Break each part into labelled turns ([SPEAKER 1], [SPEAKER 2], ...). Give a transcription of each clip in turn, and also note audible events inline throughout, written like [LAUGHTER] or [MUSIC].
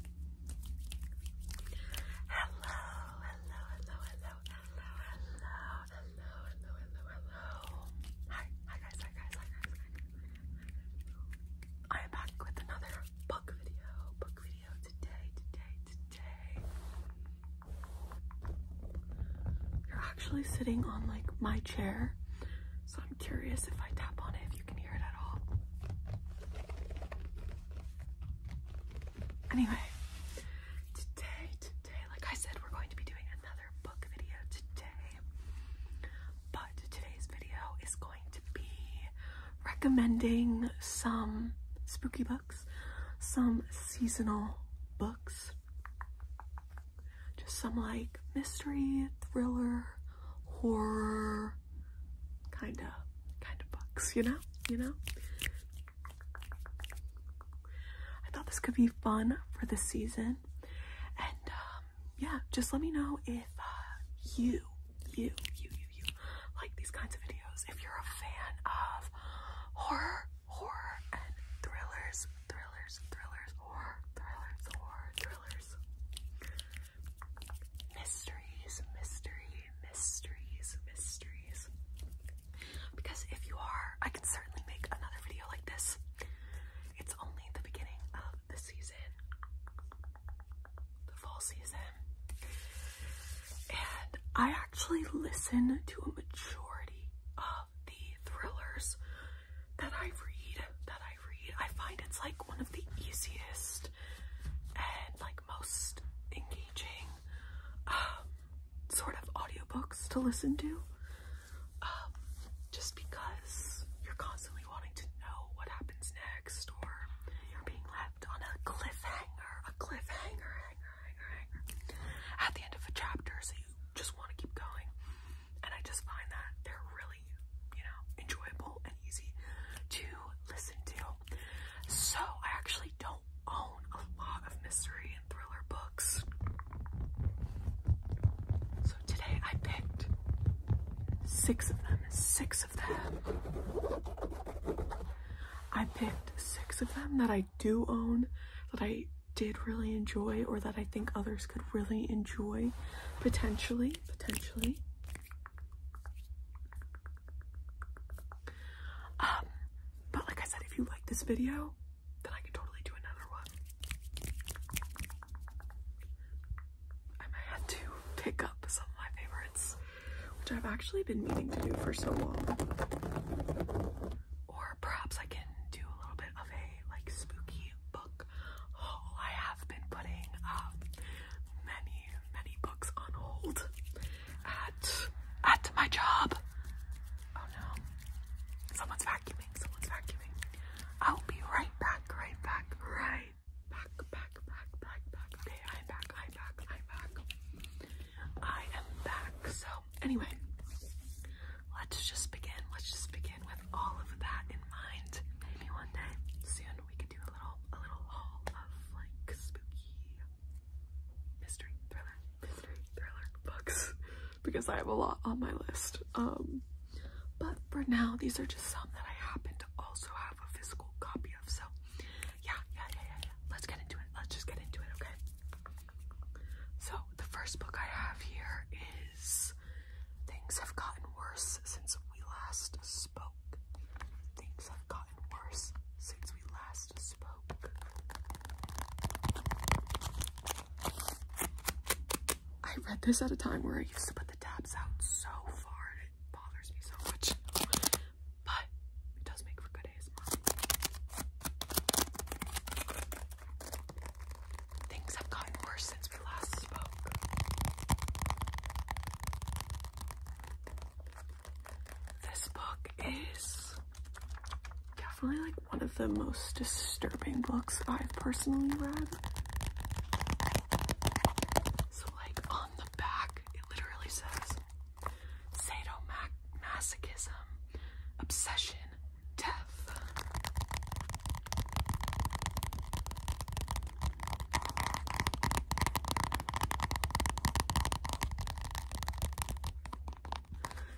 [SPEAKER 1] Hello, hello, hello, hello, hello, hello, hello, hello, hello, hello. Hi, hi guys, hi guys, hi guys, I am back with another book video, book video today, today, today. You're actually sitting on like my chair, so I'm curious if I tap on it if you can hear it at all. Anyway, today, today, like I said, we're going to be doing another book video today. But today's video is going to be recommending some spooky books, some seasonal books, just some like mystery, thriller, horror, kind of kind of bucks, you know? You know? I thought this could be fun for the season. And um, yeah, just let me know if uh, you, you, you, you, you like these kinds of videos. If you're a fan of horror, horror, and thrillers, thrillers, thrillers, horror, thrillers, horror, thrillers mysteries, mystery, mysteries, mysteries. Because if you are, I can certainly make another video like this. It's only the beginning of the season, the fall season. And I actually listen to a majority of the thrillers that I read, that I read. I find it's like one of the easiest and like most engaging um, sort of audiobooks to listen to. Um, just because you're constantly wanting to know what happens next, or you're being left on a cliffhanger, a cliffhanger, hanger, hanger, hanger, at the end of a chapter, so you just want to keep going. And I just find that they're really you know, enjoyable and easy to listen to. So I actually don't own a lot of mystery and thriller books. So today I picked six of them, six of them. I picked six of them that I do own, that I did really enjoy, or that I think others could really enjoy, potentially, potentially. Um, but like I said, if you like this video, then I could totally do another one. I might have to pick up some of my favorites, which I've actually been meaning to do for so long. Or perhaps I can do a little bit of a like spooky book haul. I have been putting um many many books on hold at at my job. Oh no. Someone's vacuuming, someone's vacuuming. I'll be right back, right back, right back, back, back, back, back. Okay, I'm back, I'm back, I'm back. I am back. So anyway, let's just begin. Let's just begin with all of that in mind. Maybe one day soon we could do a little a little haul of like spooky mystery thriller mystery thriller books [LAUGHS] because I have a lot on my list. Um but for now these are just some that I happen to also have a physical copy of. So yeah, yeah, yeah, yeah, yeah. Let's get into it. Let's just get into it, okay? So the first book I have here is Things Have Gotten Worse Since We Last Spoke Things have gotten worse since we last spoke. I read this at a time where I used to put the tabs out so far and it bothers me so much. But it does make for good ASMR. Things have gotten worse since last spoke. This book is definitely like one of the most disturbing books I've personally read. So, like on the back, it literally says sadomasochism, obsession, death.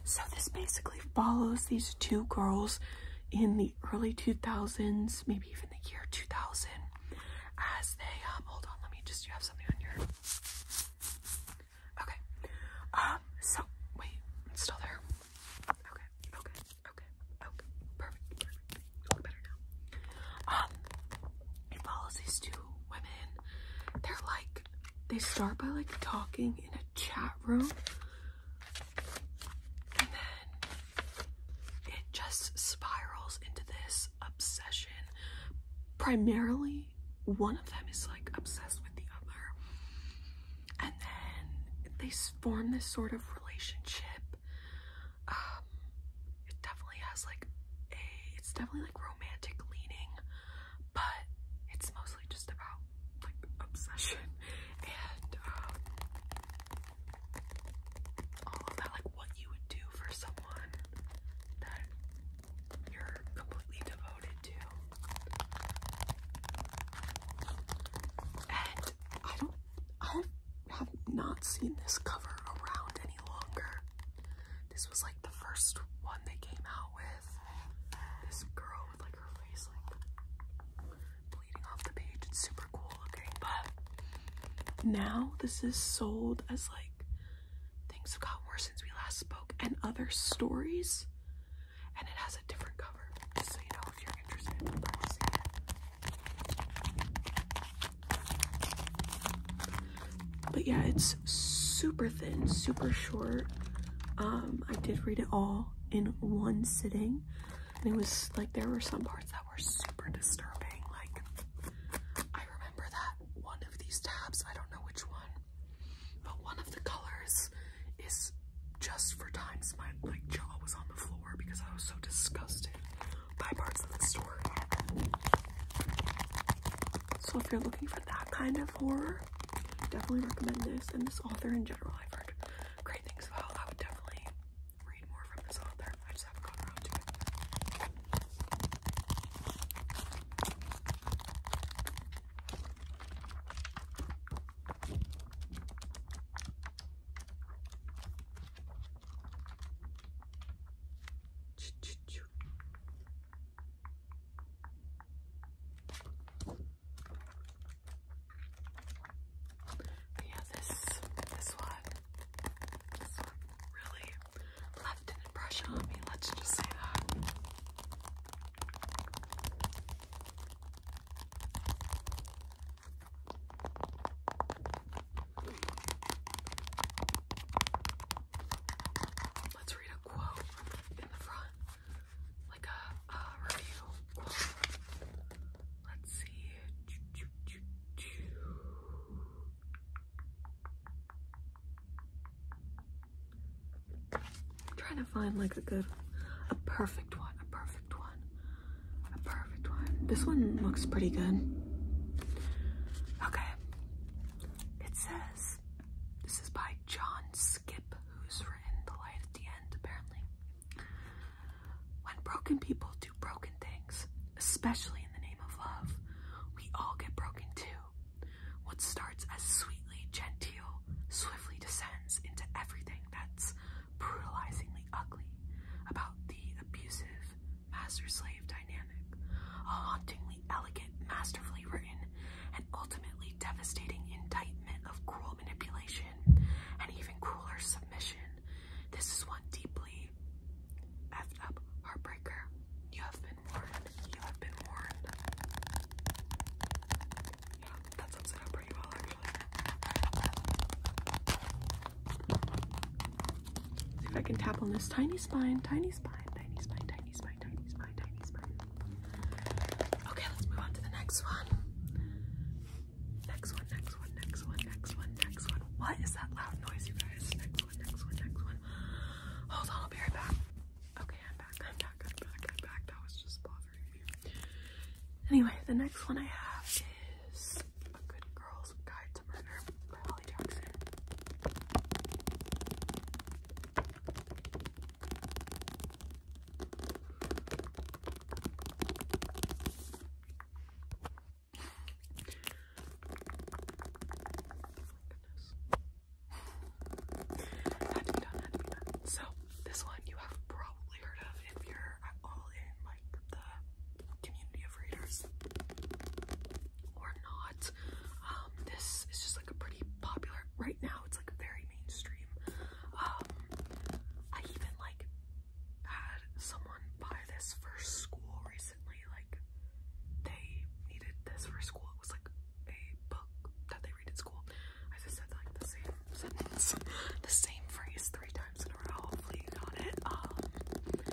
[SPEAKER 1] So this basically follows these two girls in the early 2000s, maybe even the year 2000, as they, um, hold on, let me just, you have something on your, okay, um, so, wait, still there, okay, okay, Okay, okay, perfect, perfect. better now. Um, it follows women. They're like, they start by like talking in a chat room. And then it just spirals into this obsession. Primarily, one of them is like obsessed with the other. And then they form this sort of relationship um, it definitely has like a, it's definitely like romantic leaning, but it's mostly just about like obsession [LAUGHS] and um, all of like what you would do for someone that you're completely devoted to. And I don't, i have not seen this cover around any longer. This was like the first one they came out with. This girl with like her face like bleeding off the page. It's super cool looking, but now this is sold as like things have got worse since we last spoke and other stories. And it has a different cover, just so you know if you're interested in purchasing it. But yeah, it's super thin, super short. Um, I did read it all in one sitting, and it was like there were some parts that were super disturbing. Like, I remember that one of these tabs, I don't know which one, but one of the colors is just for times my like jaw was on the floor because I was so disgusted by parts of the story. So if you're looking for that kind of horror, definitely recommend this and this author in general. I've heard great things about. I would definitely read more from this author. I just haven't gotten around to it. But yeah, this this one, this one really left an impression on me. Let's just say that. Let's read a quote in the front, like a, review quote. Let's see. I'm trying to find like a good, a perfect one, a perfect one a perfect one. This one looks pretty good. Okay. It says this is by John Skip, who's written Light at the End, apparently. When broken people do broken things, especially in the name of love, we all get broken too. What starts as sweetly genteel swiftly descends into everything that's brutalizingly ugly, about the abusive master-slave dynamic, a hauntingly elegant, masterfully written, and ultimately devastating indictment of cruel manipulation and even crueler submission. This is one deeply effed up heartbreaker. You have been warned. You have been warned. that sums it up See if I can tap on this tiny spine, tiny spine, tiny spine, tiny spine, tiny spine, tiny spine. Okay, let's move on to the next one. Next one, next one, next one, next one, next one. What is that loud noise, you guys? Next one, next one, next one. Hold on, I'll be right back. Okay, I'm back, I'm back, I'm back, I'm back. That was just bothering me. Anyway, the next one I have is a Good Girl's Guide to Murder by Holly Jackson. [SIGHS] So, this one you have probably heard of if you're all in the community of readers or not. Um, this is just like a pretty popular right now. It's like very mainstream. Um, I even like had someone buy this for school recently. Like they needed this for school. It was like a book that they read at school. I just said like the same sentence, [LAUGHS] the same phrase three times in a row. Hopefully you it. Um,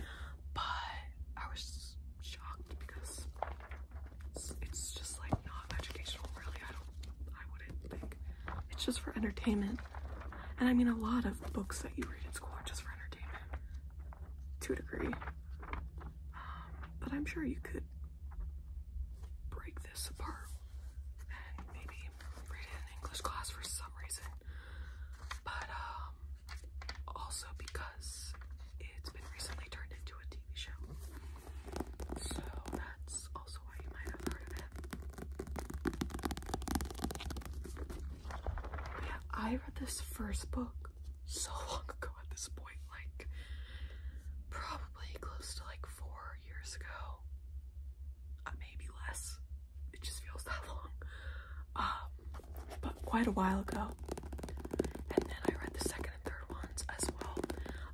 [SPEAKER 1] but I was shocked because it's, just like not educational, really. I don't, I wouldn't think. It's just for entertainment. And I mean, a lot of books that you read in school are just for entertainment to a degree. Um, but I'm sure you could break this apart maybe read in English class for some reason, but um, also because it's been recently turned into a TV show. So that's also why you might have heard of it. yeah, I read this first book so [LAUGHS] long ago at this point, like probably close to like four years ago. Uh, maybe less it just feels that [LAUGHS] long. Um, but quite a while ago. And then I read the second and third ones as well.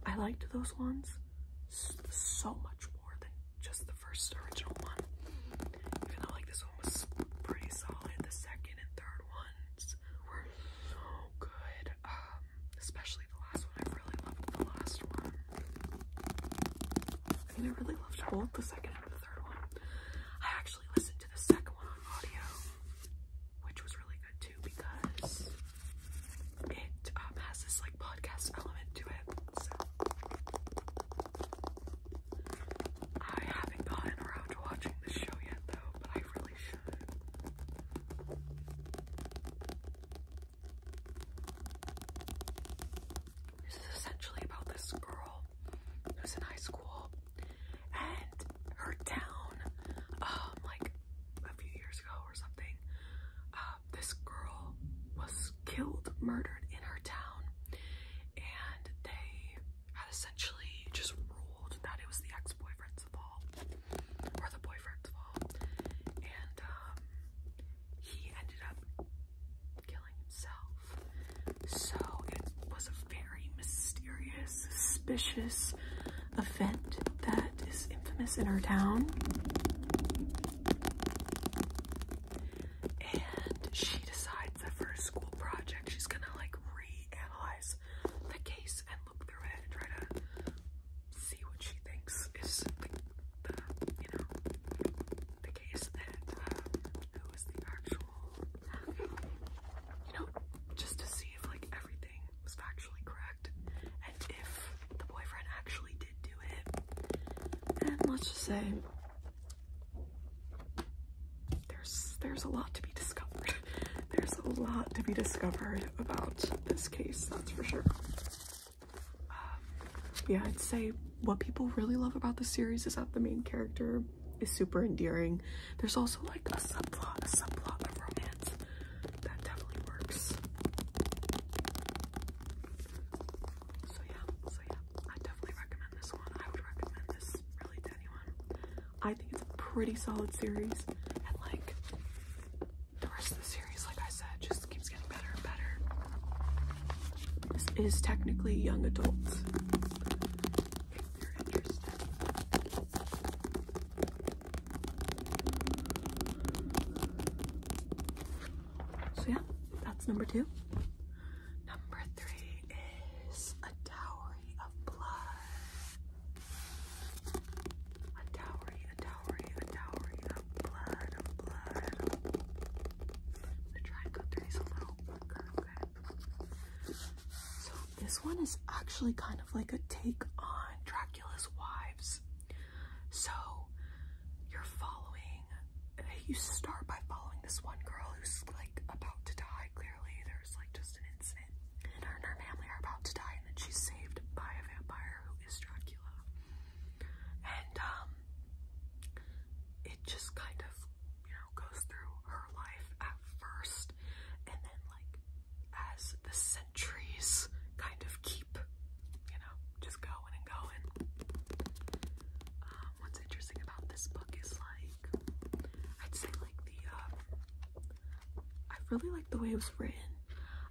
[SPEAKER 1] I liked those ones so much more than just the first original one. Even though like this one was pretty solid, the second and third ones were so good. Um, especially the last one. I really loved the last one. I mean, I really loved both the second and the third one. I actually listened to the second one on audio, which was really good too because it um, has this like podcast element to it. So I haven't gotten around to watching this show yet though, but I really should. This is essentially about this girl who's in high school and her town, um, like a few years ago or something, uh, this girl was killed, murdered in her town, and they had essentially just ruled that it was the ex-boyfriend's fault or the boyfriend's fault, and um, he ended up killing himself. So it was a very mysterious, suspicious event that is infamous in our town. And she decides that for a school project, she's gonna like reanalyze the case and look through it and try to see what she thinks is the, the you know, case that um, was the actual you know, just to see if like everything was factually correct and if the boyfriend actually did do it. And let's just say there's there's a lot to be discovered. [LAUGHS] There's a lot to be discovered about this case, that's for sure. Um, yeah, I'd say what people really love about the series is that the main character is super endearing. There's also like a subplot, a subplot of romance that definitely works. So yeah, so yeah, I definitely recommend this one. I would recommend this really to anyone. I think it's a pretty solid series, and like the rest of the series, like I said, just this is technically young adults. So yeah, that's number two. Number three is a dowry of blood. A dowry, a dowry, a dowry, blood, blood. So try and go through these okay? So this one is actually kind of like a take on Dracula's wives. So you're following, you start by following this one girl who's like about to die. Clearly, there's like just an incident, and her and her family are about to die, and then she's saved by a vampire who is Dracula. And um, it just kind of, you know, goes through her life at first, and then like as the centuries kind of keep, you know, just going and going. Um, what's interesting about this book is like, I'd say like the, um, I really like the way it was written.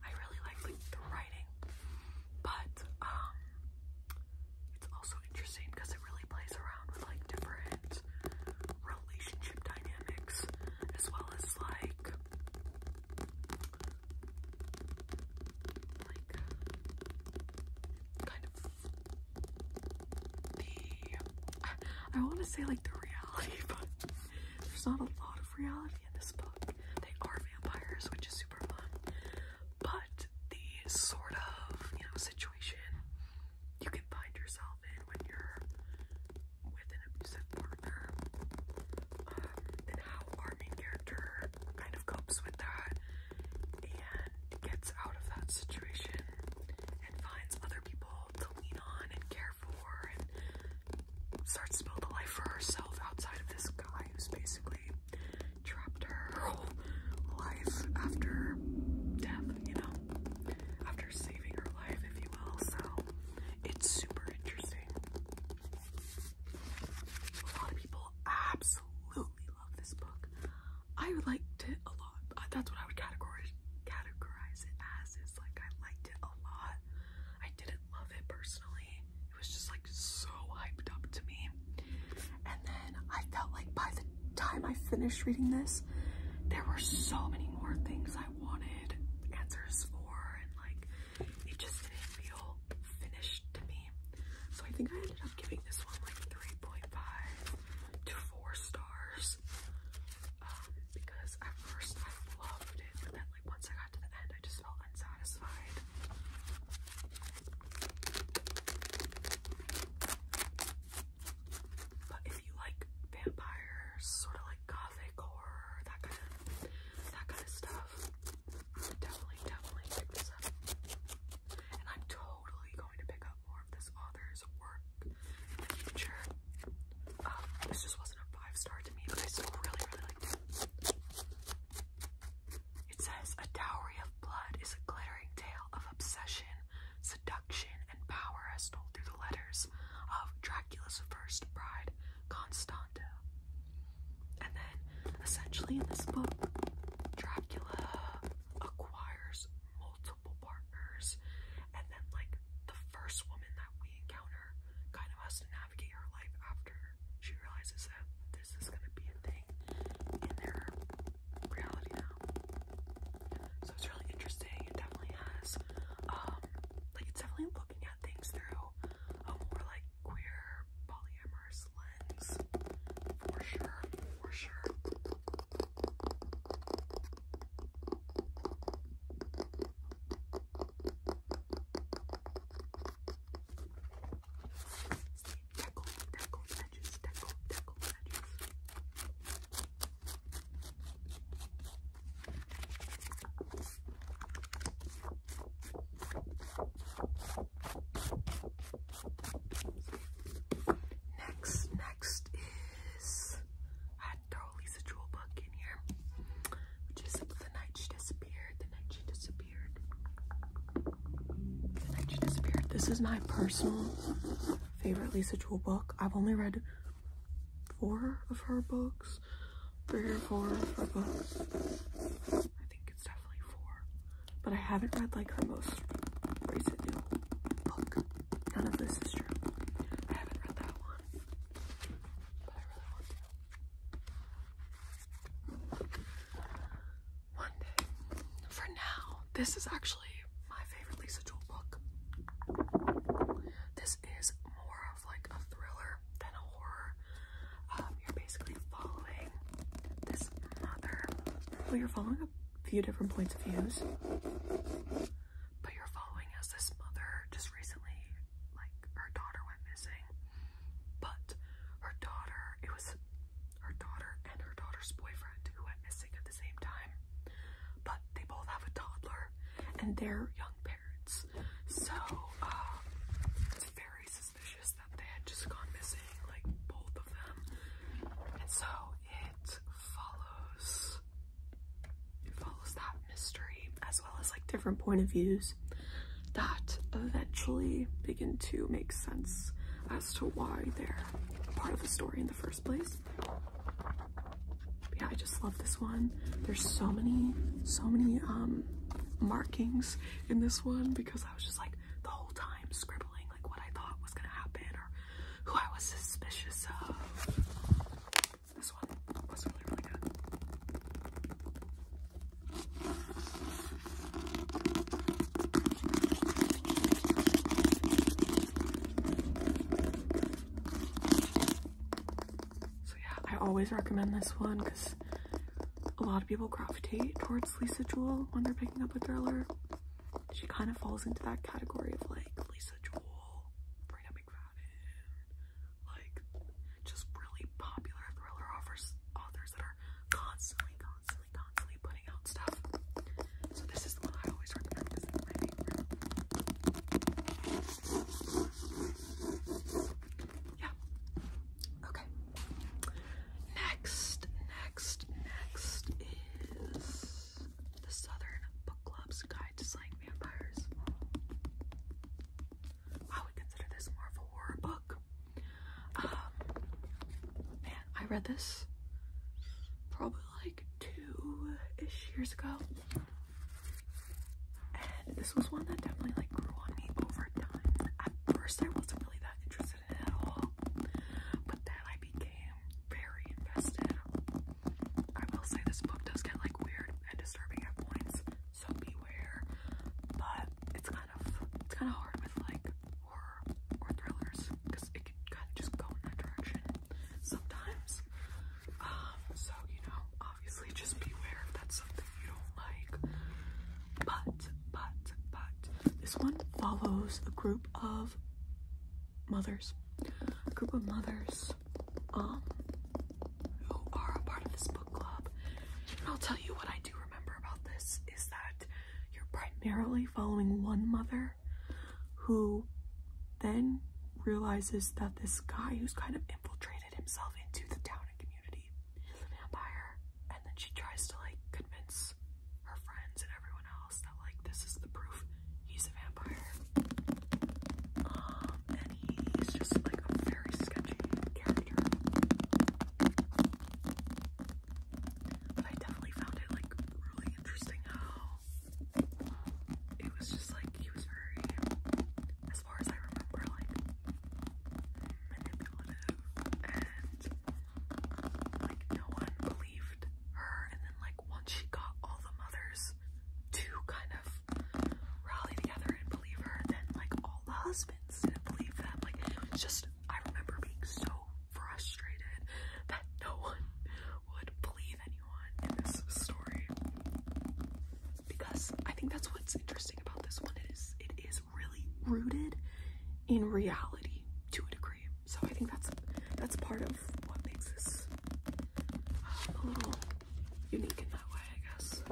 [SPEAKER 1] I really like like the writing. But um, it's also interesting because it really plays around with like different relationship dynamics as well as like like kind of the I want to say like the reality [LAUGHS] but there's not a lot of reality in this book. They are vampires, which is super fun but the sort of, you know, situation you can find yourself in when you're with an abusive partner, and um, how our main character kind of copes with that and gets out of that situation and finds other people to lean on and care for and starts to build a life for herself outside of this guy who's basically trapped her [LAUGHS] whole life after death, you know, after saving her life, if you will. So it's super interesting. A lot of people absolutely love this book. I liked it a lot. Uh, that's what I would categorize categorize it as. It's like I liked it a lot. I didn't love it personally. It was just like so hyped up to me. And then I felt like by the time I finished reading this, there were so many more things I wanted answers for, and like it just didn't feel finished to me. So I think I ended up giving this one like 3.5 to 4 stars. Um, because at first I loved it, but then like once I got to the end, I just felt but if you like vampires, sort of like gothic horror, that kind of that kind of stuff, definitely, definitely pick this up. And I'm totally going to pick up more of this author's work in the future. Um, this just wasn't a five star to me, but I still really, really liked it. It says, A dowry of blood is a glittering tale of obsession, seduction, and power as told through the letters of Dracula's first bride, Constanta. And then, essentially, in this book, Dracula acquires multiple partners, and then, like, the first woman that we encounter kind of has to navigate her life after she realizes that this is going to be a thing in their reality now. So it's really interesting. It definitely has, um, like, it's definitely looking at things through a more like queer polyamorous lens. For sure, for sure. Next, next is I throw Lisa Jewel book in here, which is the night she disappeared. The night she disappeared. This is my personal favorite Lisa Jewell book. I've only read four of her books. Three or four of her books. I think it's definitely four. But I haven't read like her most recent new book. None of this is true. I haven't read that one. But I really want to. For now, this is actually my favorite Lisa Jewell book. This is more of like a thriller than a horror. Um, you're basically following this mother. Well, you're following a few different points of views, but you're following as this mother just recently, like her daughter went missing, but her daughter, it was her daughter and her daughter's boyfriend who went missing at the same time. But they both have a toddler and they're young parents. So uh, it's very suspicious that they had just gone missing, like both of them. And so it follows follows that mystery as well as like different point of views that eventually begin to make sense as to why they're part of the story in the first place. yeah, I just love this one. There's so many, so many um, markings in this one because I was just like the whole time scribbling like what I thought was gonna happen or who I was suspicious of. This one was really, really good. So yeah, I always recommend this one because a lot of people gravitate towards Lisa Jewell when they're picking up a thriller. She kind of falls into that category of like Lisa Jewell, Brina McFadden, like just really popular thriller authors, authors that are constantly, constantly, constantly putting out stuff. So this is the one I always recommend Yeah. Okay. Next, next, next is the Southern Book Club's Guide to Slaying Vampires. I would consider this more of a book. Uh, man, I read this probably like two-ish years ago. And this was one that definitely like grew on me over time. At first I wasn't really that interested in it at all. But then I became very invested. I will say this book does get like weird and disturbing at points so beware. But it's kind of it's kind of hard with like horror or thrillers because it can kind of just go in that direction sometimes. Um, so you know, obviously, just beware if that's something you don't like. But but but this one follows a group of mothers, a group of mothers, um, who are a part of this book club. I'll tell you what I do remember about this is that you're primarily following one mother who then realizes that this guy who's kind of infiltrated himself into the town and community is a vampire and then she tries to like convince her friends and everyone else that like this is the proof he's a vampire um, and he's just like a very sketchy character but I definitely found it like really interesting how it was just like he was very, as far as I remember, like manipulative and like no one believed her. And then like once she got all the mothers to kind of rally together and believe her, then like all the husbands husbands believe them. Like, just, I remember being so frustrated that no one would believe anyone in this story. Because I think that's what's interesting about this one is it is really rooted in reality to a degree. So I think that's that's part of what makes this uh, a little unique in that way, I guess.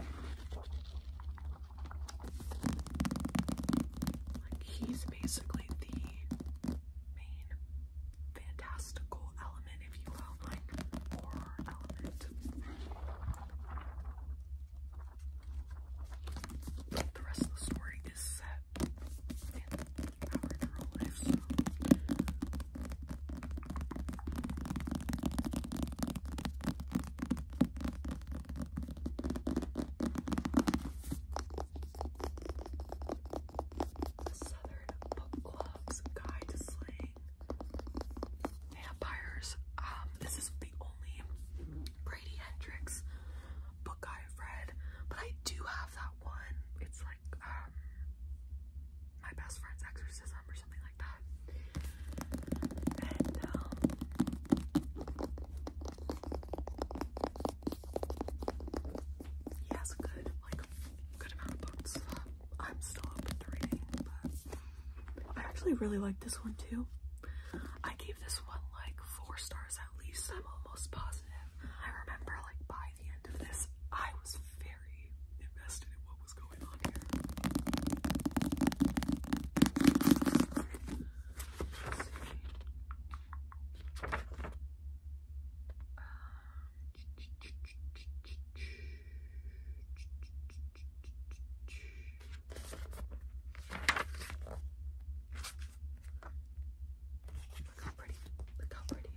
[SPEAKER 1] Like he's basically the main fantastical element, if you will, like horror element. the rest of the story is set in our real life, the Southern Book Club's Guide to Slaying Vampires. Um, this is the only Brady Hendrix book I've read, but I do have that one. It's like um my best friend's exorcism um, he has a good like good amount of books. I'm still open to reading, but I actually really like this one too. I gave this one like four stars at least. I'm almost positive. I remember like by the end of this I was very invested in what what going on here. Look how pretty. Look how pretty.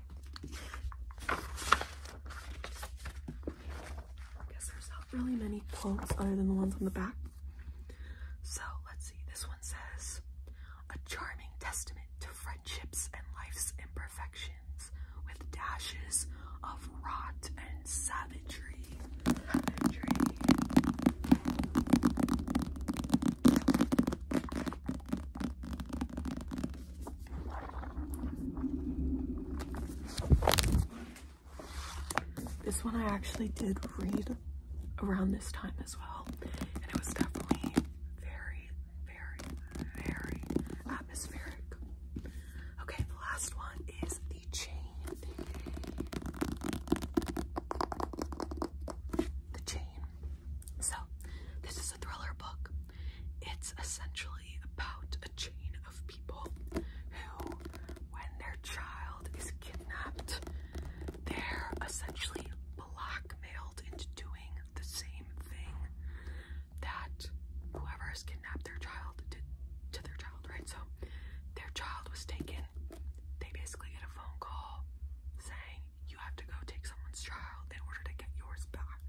[SPEAKER 1] I guess there's not really many quotes other than the ones on the back. So let's see. This one says, "A charming testament to friendships and life's imperfections, with dashes of rot and savagery. This one I actually did read around this time as well, and it was definitely very, very, very atmospheric. Okay, the last one is the chain. The chain. So, this is a thriller book. It's essentially about a chain of people who, when their child is kidnapped, they're essentially blackmailed into doing the same thing that whoever has kidnapped their child did to their child, right? So their child was taken. They basically get a phone call saying, You have to go take someone's child in order to get yours back.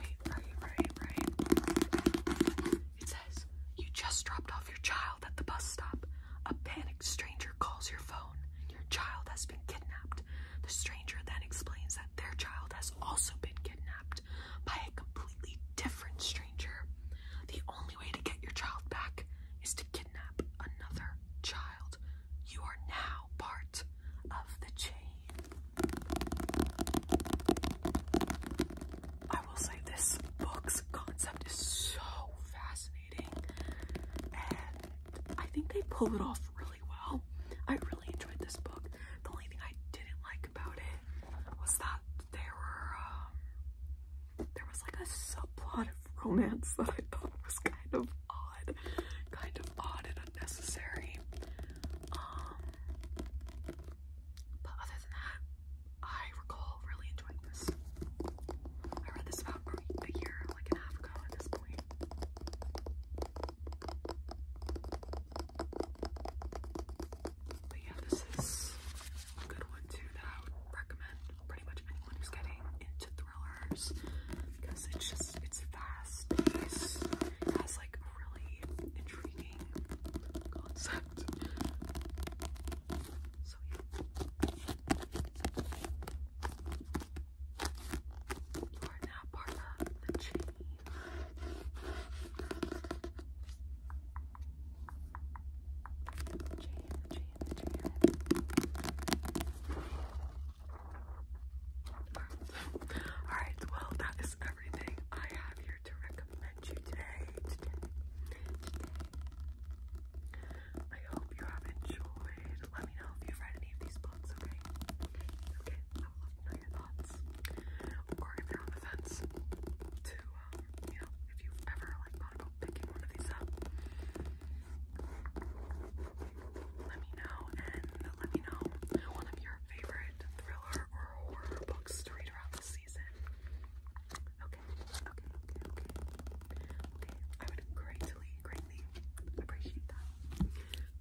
[SPEAKER 1] Right, right, right, right. It says, You just dropped off your child at the bus stop. A panicked stranger calls your phone. Your child has been kidnapped. The stranger then explains that their child has also been kidnapped by a completely different stranger. The only way to get your child back is to kidnap another child. You are now part of the chain will say this book's concept is so fascinating, and I think they pull it off really well. I really enjoyed this book. The only thing I didn't like about it was that there um, was like a subplot of romance that I thought was kind of odd, kind of odd and unnecessary. Um, but other than that, I recall really enjoying this. I read this about a year, like and half ago at this point. But yeah, this is a good one too that I would recommend pretty much anyone who's getting into thrillers because it's just it's fast. It has like really intriguing concept. So yeah. You are now part of the chain. Chain, chain, chain. Alright, well that is everything I have here to recommend you today, I hope you have enjoyed. Let me know if you've read any of these books, okay? I love know your thoughts. Or if you're on the fence, to, uh, you know, if you've ever, like, thought about picking one of these up, let me know, and let me know one of your favorite thriller or horror books to read around this season. Okay, okay, okay, okay. I would greatly, greatly appreciate that.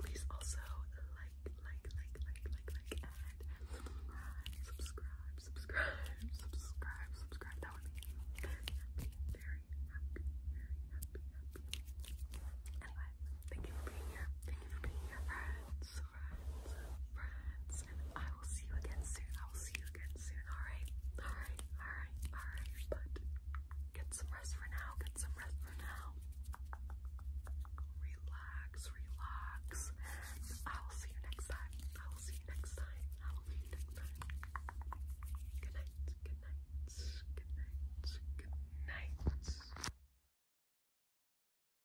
[SPEAKER 1] Please also like, like, like, like, like, and subscribe, subscribe, subscribe, subscribe. That would make me happy, very happy, very happy. Anyway, thank you for being here. Thank you for being here, friends friends, friends, and I will see you again soon. I will see you again soon. All right, all right, all right, all right. But get some rest for now. Get some rest for now. Relax, relax. I will see you next time. I will see you next time. I will see you next time. Good night. Good night. Good night. Good night.